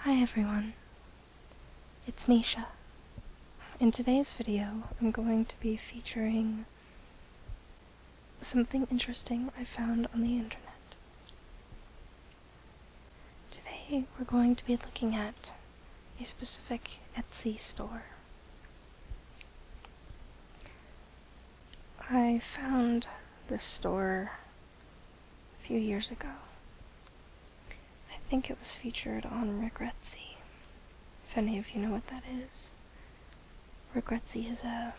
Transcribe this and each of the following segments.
Hi everyone, it's Misha. In today's video I'm going to be featuring something interesting I found on the internet. Today we're going to be looking at a specific Etsy store. I found this store a few years ago. I think it was featured on Regretsy. if any of you know what that is. Regretsy is a,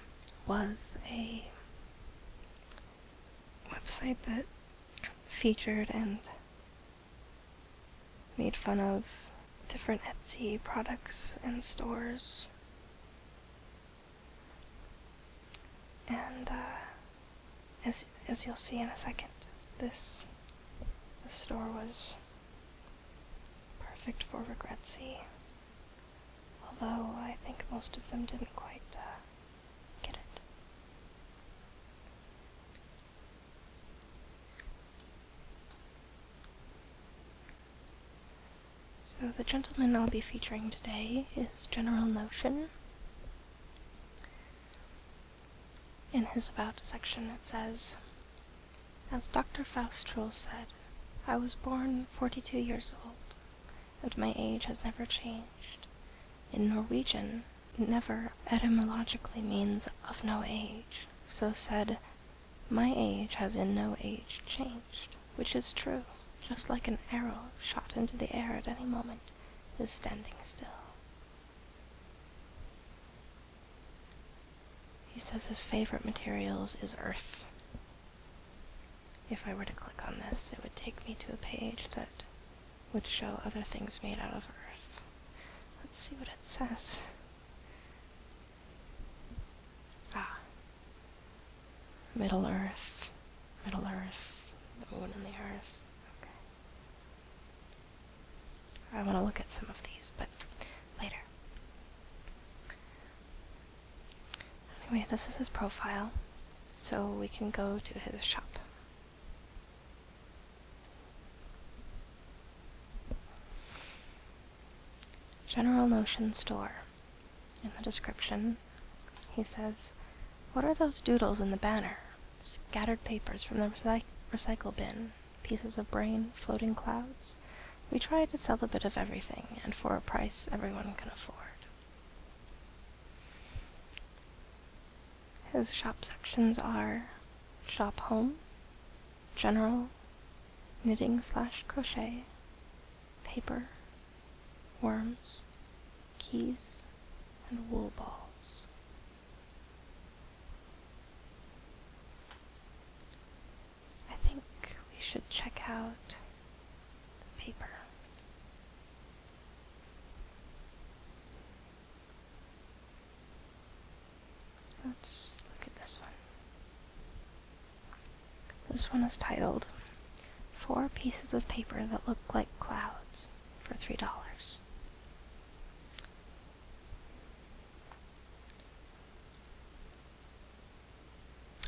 was a website that featured and made fun of different Etsy products and stores and uh, as as you'll see in a second, this this store was perfect for Regret Sea. Although I think most of them didn't quite uh, get it. So the gentleman I'll be featuring today is General Notion. In his About section it says, As Dr. Faustroll said, I was born 42 years old, and my age has never changed. In Norwegian, never etymologically means of no age, so said, My age has in no age changed which is true, just like an arrow shot into the air at any moment, is standing still. He says his favorite materials is earth. If I were to click on this, it would take me to a page that would show other things made out of earth. Let's see what it says. Ah, Middle Earth, Middle Earth, the moon and the earth. Okay. I want to look at some of these, but later. Anyway, this is his profile, so we can go to his shop. General Notion Store. In the description, he says, What are those doodles in the banner? Scattered papers from the recycle bin, pieces of brain, floating clouds. We try to sell a bit of everything, and for a price everyone can afford. His shop sections are shop home, general, knitting slash crochet, paper, worms, keys, and wool balls. I think we should check out paper. Let's look at this one. This one is titled Four Pieces of Paper That Look Like Clouds for $3.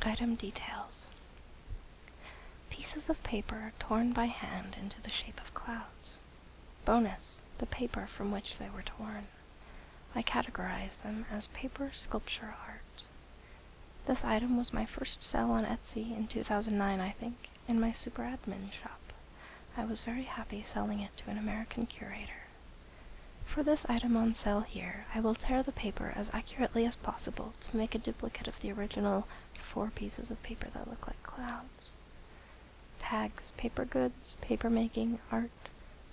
Item details Pieces of paper torn by hand into the shape of clouds. Bonus, the paper from which they were torn. I categorize them as paper sculpture art. This item was my first sell on Etsy in 2009, I think, in my super admin shop. I was very happy selling it to an American curator. For this item on sale here, I will tear the paper as accurately as possible to make a duplicate of the original four pieces of paper that look like clouds. Tags, paper goods, paper making, art,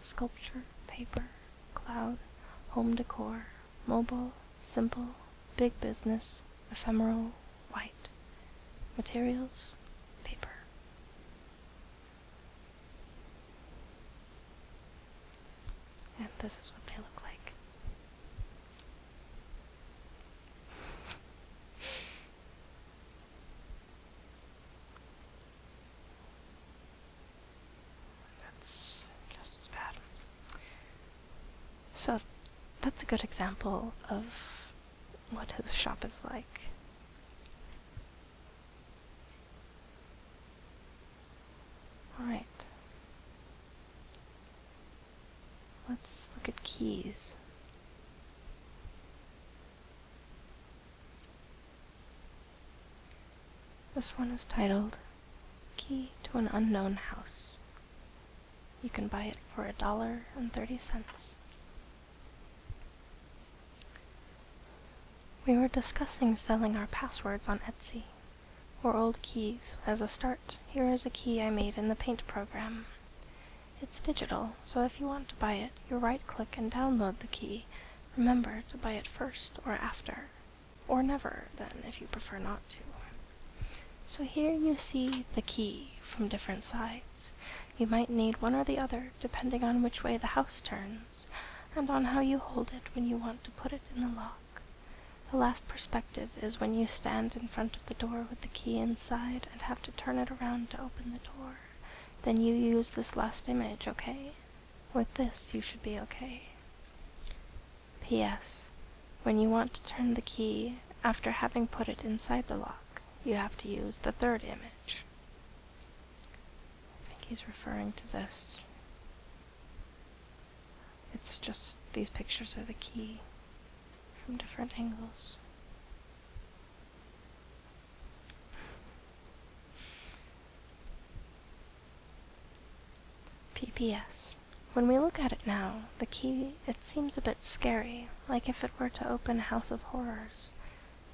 sculpture, paper, cloud, home decor, mobile, Simple, big business, ephemeral, white. Materials, paper. And this is what they look like. That's just as bad. So that's a good example of what his shop is like. Alright. Let's look at keys. This one is titled Key to an unknown house. You can buy it for a dollar and thirty cents. We were discussing selling our passwords on Etsy, or old keys, as a start. Here is a key I made in the Paint program. It's digital, so if you want to buy it, you right-click and download the key. Remember to buy it first or after. Or never, then, if you prefer not to. So here you see the key from different sides. You might need one or the other, depending on which way the house turns, and on how you hold it when you want to put it in the lock. The last perspective is when you stand in front of the door with the key inside and have to turn it around to open the door. Then you use this last image, okay? With this, you should be okay. P.S. When you want to turn the key after having put it inside the lock, you have to use the third image. I think he's referring to this. It's just these pictures are the key from different angles. PPS. When we look at it now, the key, it seems a bit scary, like if it were to open a House of Horrors.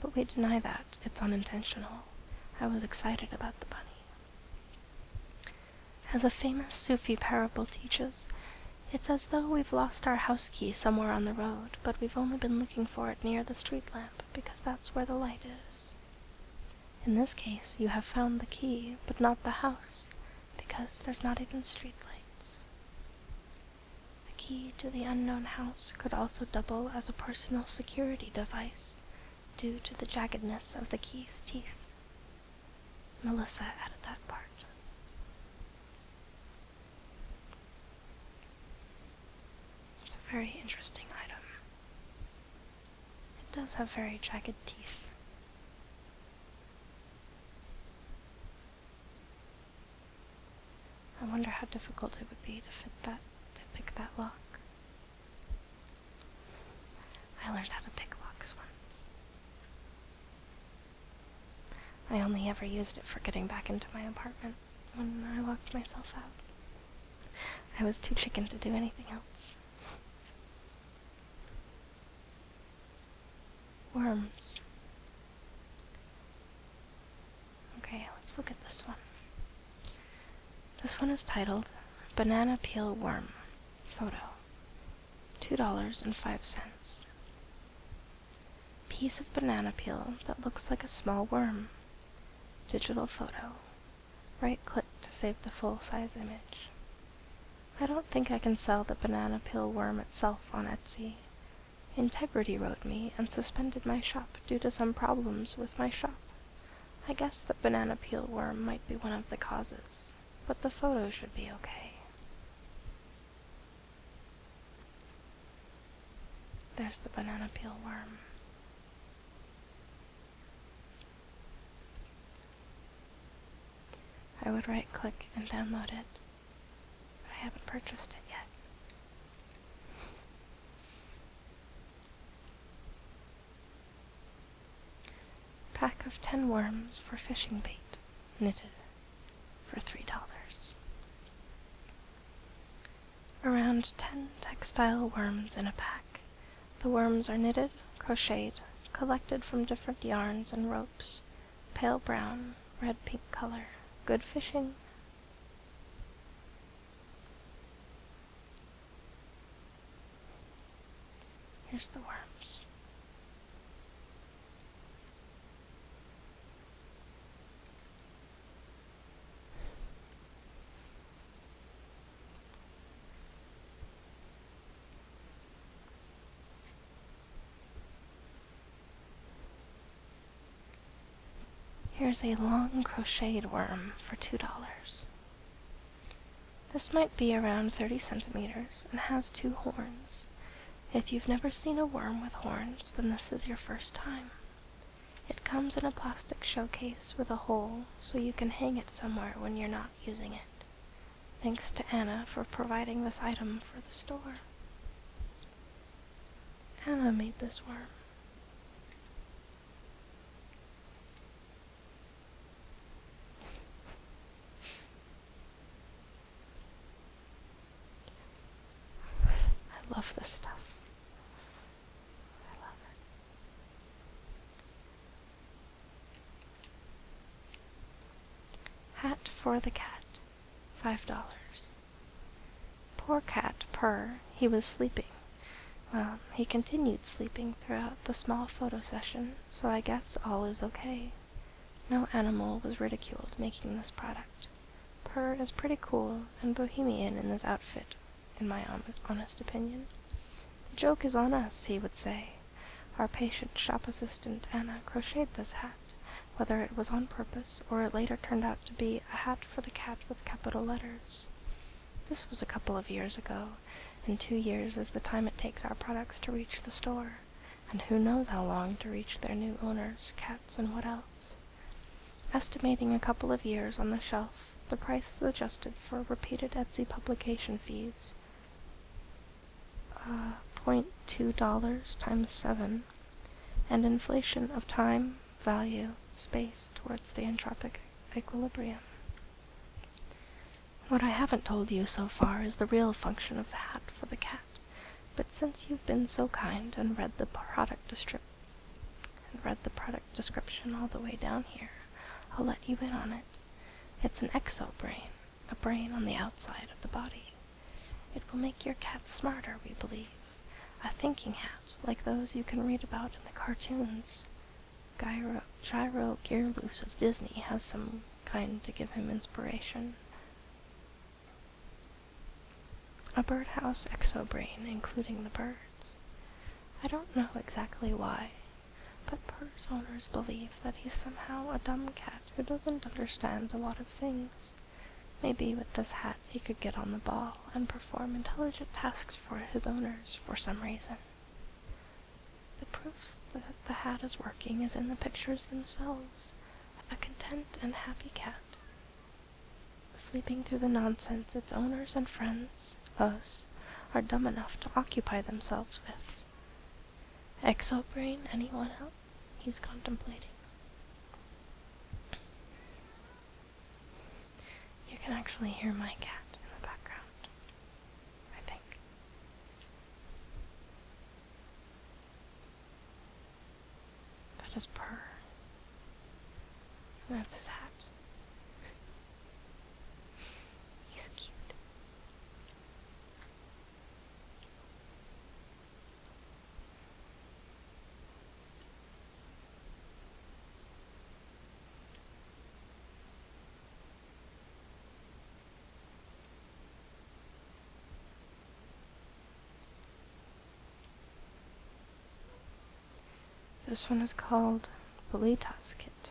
But we deny that, it's unintentional. I was excited about the bunny. As a famous Sufi parable teaches, it's as though we've lost our house key somewhere on the road, but we've only been looking for it near the street lamp, because that's where the light is. In this case, you have found the key, but not the house, because there's not even streetlights. The key to the unknown house could also double as a personal security device due to the jaggedness of the key's teeth. Melissa added that part. It's a very interesting item. It does have very jagged teeth. I wonder how difficult it would be to fit that, to pick that lock. I learned how to pick locks once. I only ever used it for getting back into my apartment when I locked myself out. I was too chicken to do anything else. Worms. Okay, let's look at this one. This one is titled Banana Peel Worm. Photo. $2.05. Piece of banana peel that looks like a small worm. Digital photo. Right click to save the full size image. I don't think I can sell the banana peel worm itself on Etsy. Integrity wrote me and suspended my shop due to some problems with my shop. I guess the banana peel worm might be one of the causes, but the photo should be okay. There's the banana peel worm. I would right click and download it, but I haven't purchased it yet. Pack of ten worms for fishing bait, knitted, for three dollars. Around ten textile worms in a pack, the worms are knitted, crocheted, collected from different yarns and ropes, pale brown, red pink color. Good fishing. Here's the worms. Here's a long crocheted worm for $2. This might be around 30 centimeters and has two horns. If you've never seen a worm with horns, then this is your first time. It comes in a plastic showcase with a hole so you can hang it somewhere when you're not using it. Thanks to Anna for providing this item for the store. Anna made this worm. I love this stuff. I love it. Hat for the cat, five dollars. Poor cat purr, he was sleeping. Well, um, he continued sleeping throughout the small photo session, so I guess all is okay. No animal was ridiculed making this product. Purr is pretty cool and bohemian in this outfit, in my honest opinion. The joke is on us, he would say. Our patient shop assistant Anna crocheted this hat, whether it was on purpose or it later turned out to be a hat for the cat with capital letters. This was a couple of years ago, and two years is the time it takes our products to reach the store, and who knows how long to reach their new owners, cats and what else. Estimating a couple of years on the shelf, the price is adjusted for repeated Etsy publication fees uh, 0.2 times 7, and inflation of time, value, space towards the entropic equilibrium. What I haven't told you so far is the real function of the hat for the cat, but since you've been so kind and read the product description, and read the product description all the way down here, I'll let you in on it. It's an exobrain, a brain on the outside of the body. It will make your cat smarter, we believe. A thinking hat, like those you can read about in the cartoons. Gyro, Gyro Gearloose of Disney has some kind to give him inspiration. A birdhouse exobrain, including the birds. I don't know exactly why, but Purr's owners believe that he's somehow a dumb cat who doesn't understand a lot of things. Maybe with this hat he could get on the ball and perform intelligent tasks for his owners for some reason. The proof that the hat is working is in the pictures themselves a content and happy cat. Sleeping through the nonsense its owners and friends, us, are dumb enough to occupy themselves with. Exobrain, anyone else? He's contemplating. You can actually hear my cat in the background, I think. That is purr. That's his hat. He's cute. This one is called Bolitas Kit.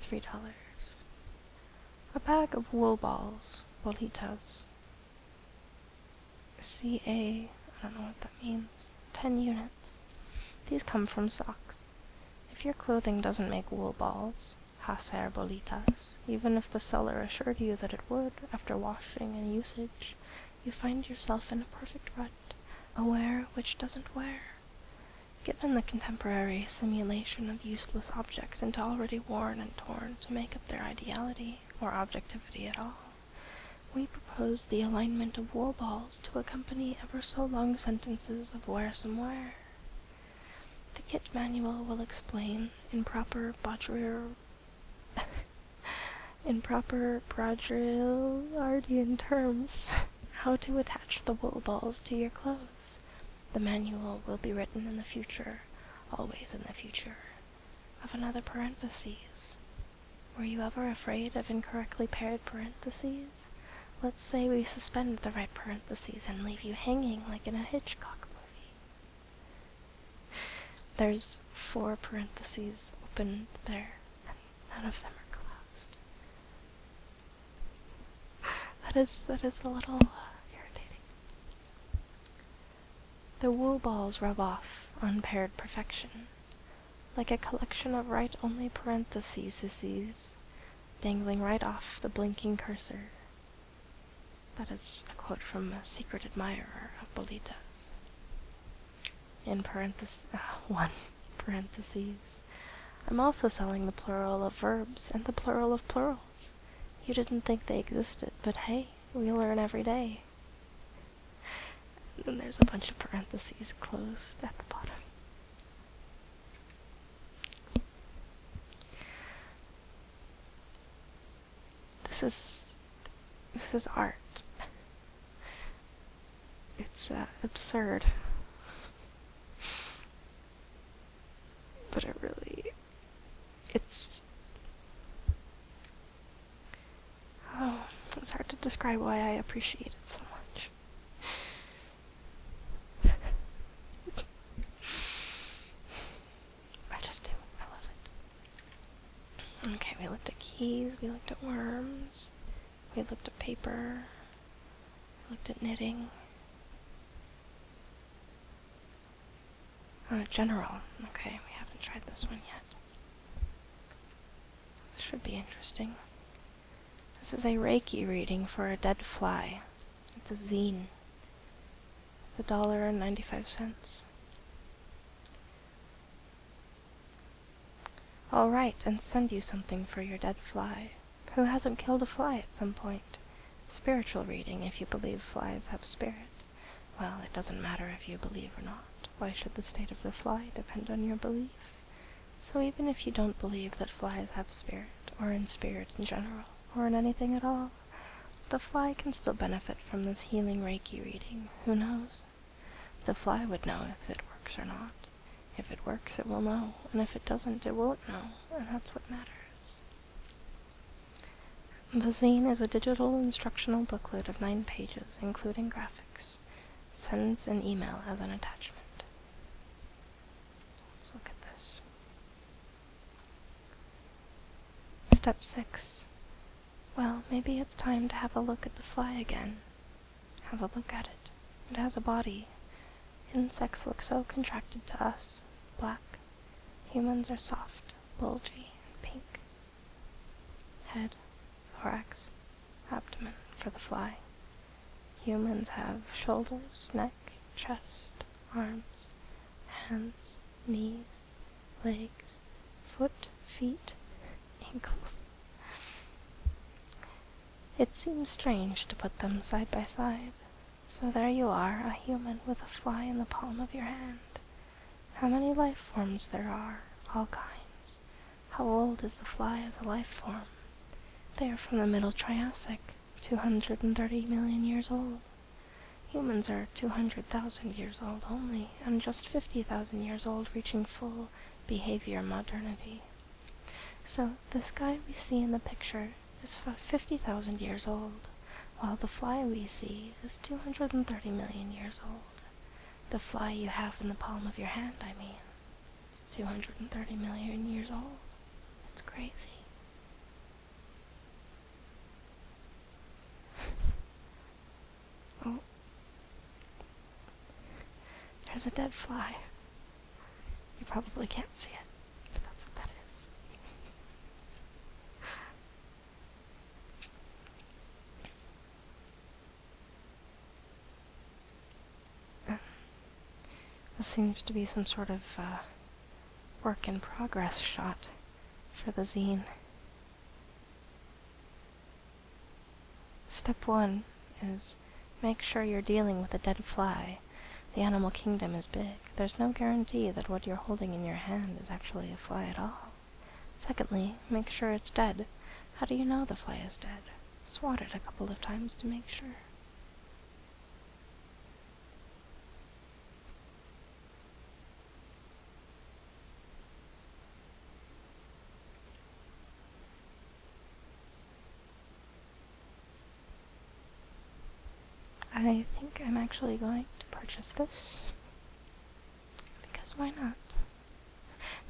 Three dollars. A pack of wool balls, bolitas. CA, I don't know what that means. 10 units. These come from socks. If your clothing doesn't make wool balls, hacer bolitas, even if the seller assured you that it would after washing and usage, you find yourself in a perfect rut, a wear which doesn't wear. Given the contemporary simulation of useless objects into already worn and torn to make up their ideality or objectivity at all, we propose the alignment of wool balls to accompany ever so long sentences of where-somewhere. The kit manual will explain, in proper bodger... in proper Brodrillardian terms, how to attach the wool balls to your clothes, the manual will be written in the future, always in the future, of another parentheses. Were you ever afraid of incorrectly paired parentheses? Let's say we suspend the right parentheses and leave you hanging like in a Hitchcock movie. There's four parentheses open there, and none of them are closed. that is that is a little uh, irritating. The wool balls rub off unpaired perfection, like a collection of right-only parentheses dangling right off the blinking cursor. That is a quote from a secret admirer of Bolita's. In parentheses, one parentheses. I'm also selling the plural of verbs and the plural of plurals. You didn't think they existed, but hey, we learn every day. And then there's a bunch of parentheses closed at the bottom. This is this is art. It's uh, absurd. But it really. It's. Oh, it's hard to describe why I appreciate it so much. I just do. I love it. Okay, we looked at keys, we looked at worms, we looked at paper, looked at knitting, Oh, general. Okay, we haven't tried this one yet. This should be interesting. This is a Reiki reading for a dead fly. It's a zine. It's a dollar and ninety-five cents. All right, and send you something for your dead fly. Who hasn't killed a fly at some point? Spiritual reading, if you believe flies have spirit. Well, it doesn't matter if you believe or not. Why should the state of the fly depend on your belief? So even if you don't believe that flies have spirit, or in spirit in general, or in anything at all, the fly can still benefit from this healing Reiki reading. Who knows? The fly would know if it works or not. If it works, it will know, and if it doesn't, it won't know, and that's what matters. The zine is a digital instructional booklet of nine pages, including graphics. Sends an email as an attachment. Let's look at this. Step 6. Well, maybe it's time to have a look at the fly again. Have a look at it. It has a body, Insects look so contracted to us, black. Humans are soft, bulgy, and pink. Head, thorax, abdomen for the fly. Humans have shoulders, neck, chest, arms, hands, knees, legs, foot, feet, ankles. It seems strange to put them side by side, so there you are, a human with a fly in the palm of your hand. How many life forms there are, all kinds. How old is the fly as a life form? They are from the Middle Triassic, 230 million years old. Humans are 200,000 years old only, and just 50,000 years old reaching full behavior modernity. So, this guy we see in the picture is 50,000 years old, while the fly we see is 230 million years old. The fly you have in the palm of your hand, I mean. 230 million years old. It's crazy. oh. There's a dead fly. You probably can't see it, but that's what that is. This seems to be some sort of uh, work in progress shot for the zine. Step one is Make sure you're dealing with a dead fly. The animal kingdom is big. There's no guarantee that what you're holding in your hand is actually a fly at all. Secondly, make sure it's dead. How do you know the fly is dead? Swat it a couple of times to make sure. I think I'm actually going to purchase this. Because why not?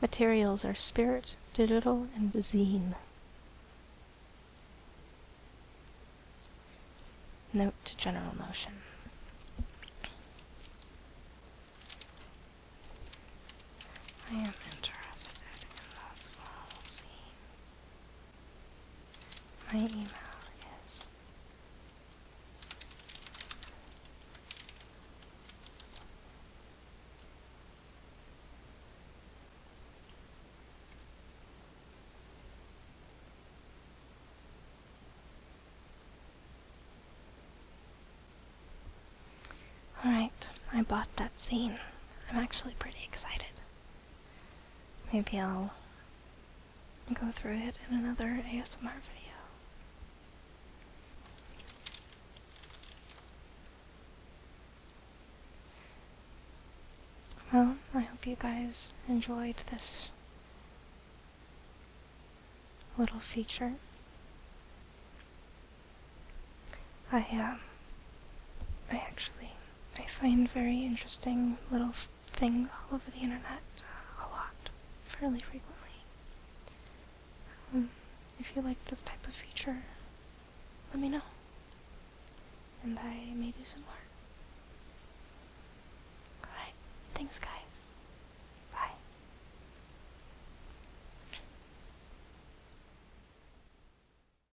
Materials are spirit, digital, and zine. Note to general motion. I am interested in the full scene. My email is Alright, I bought that scene. I'm actually pretty excited. Maybe I'll go through it in another ASMR video. Well, I hope you guys enjoyed this little feature. I um, I actually I find very interesting little things all over the internet uh, a lot, fairly frequently. Um, if you like this type of feature, let me know, and I may do some more. Alright, thanks guys. Bye.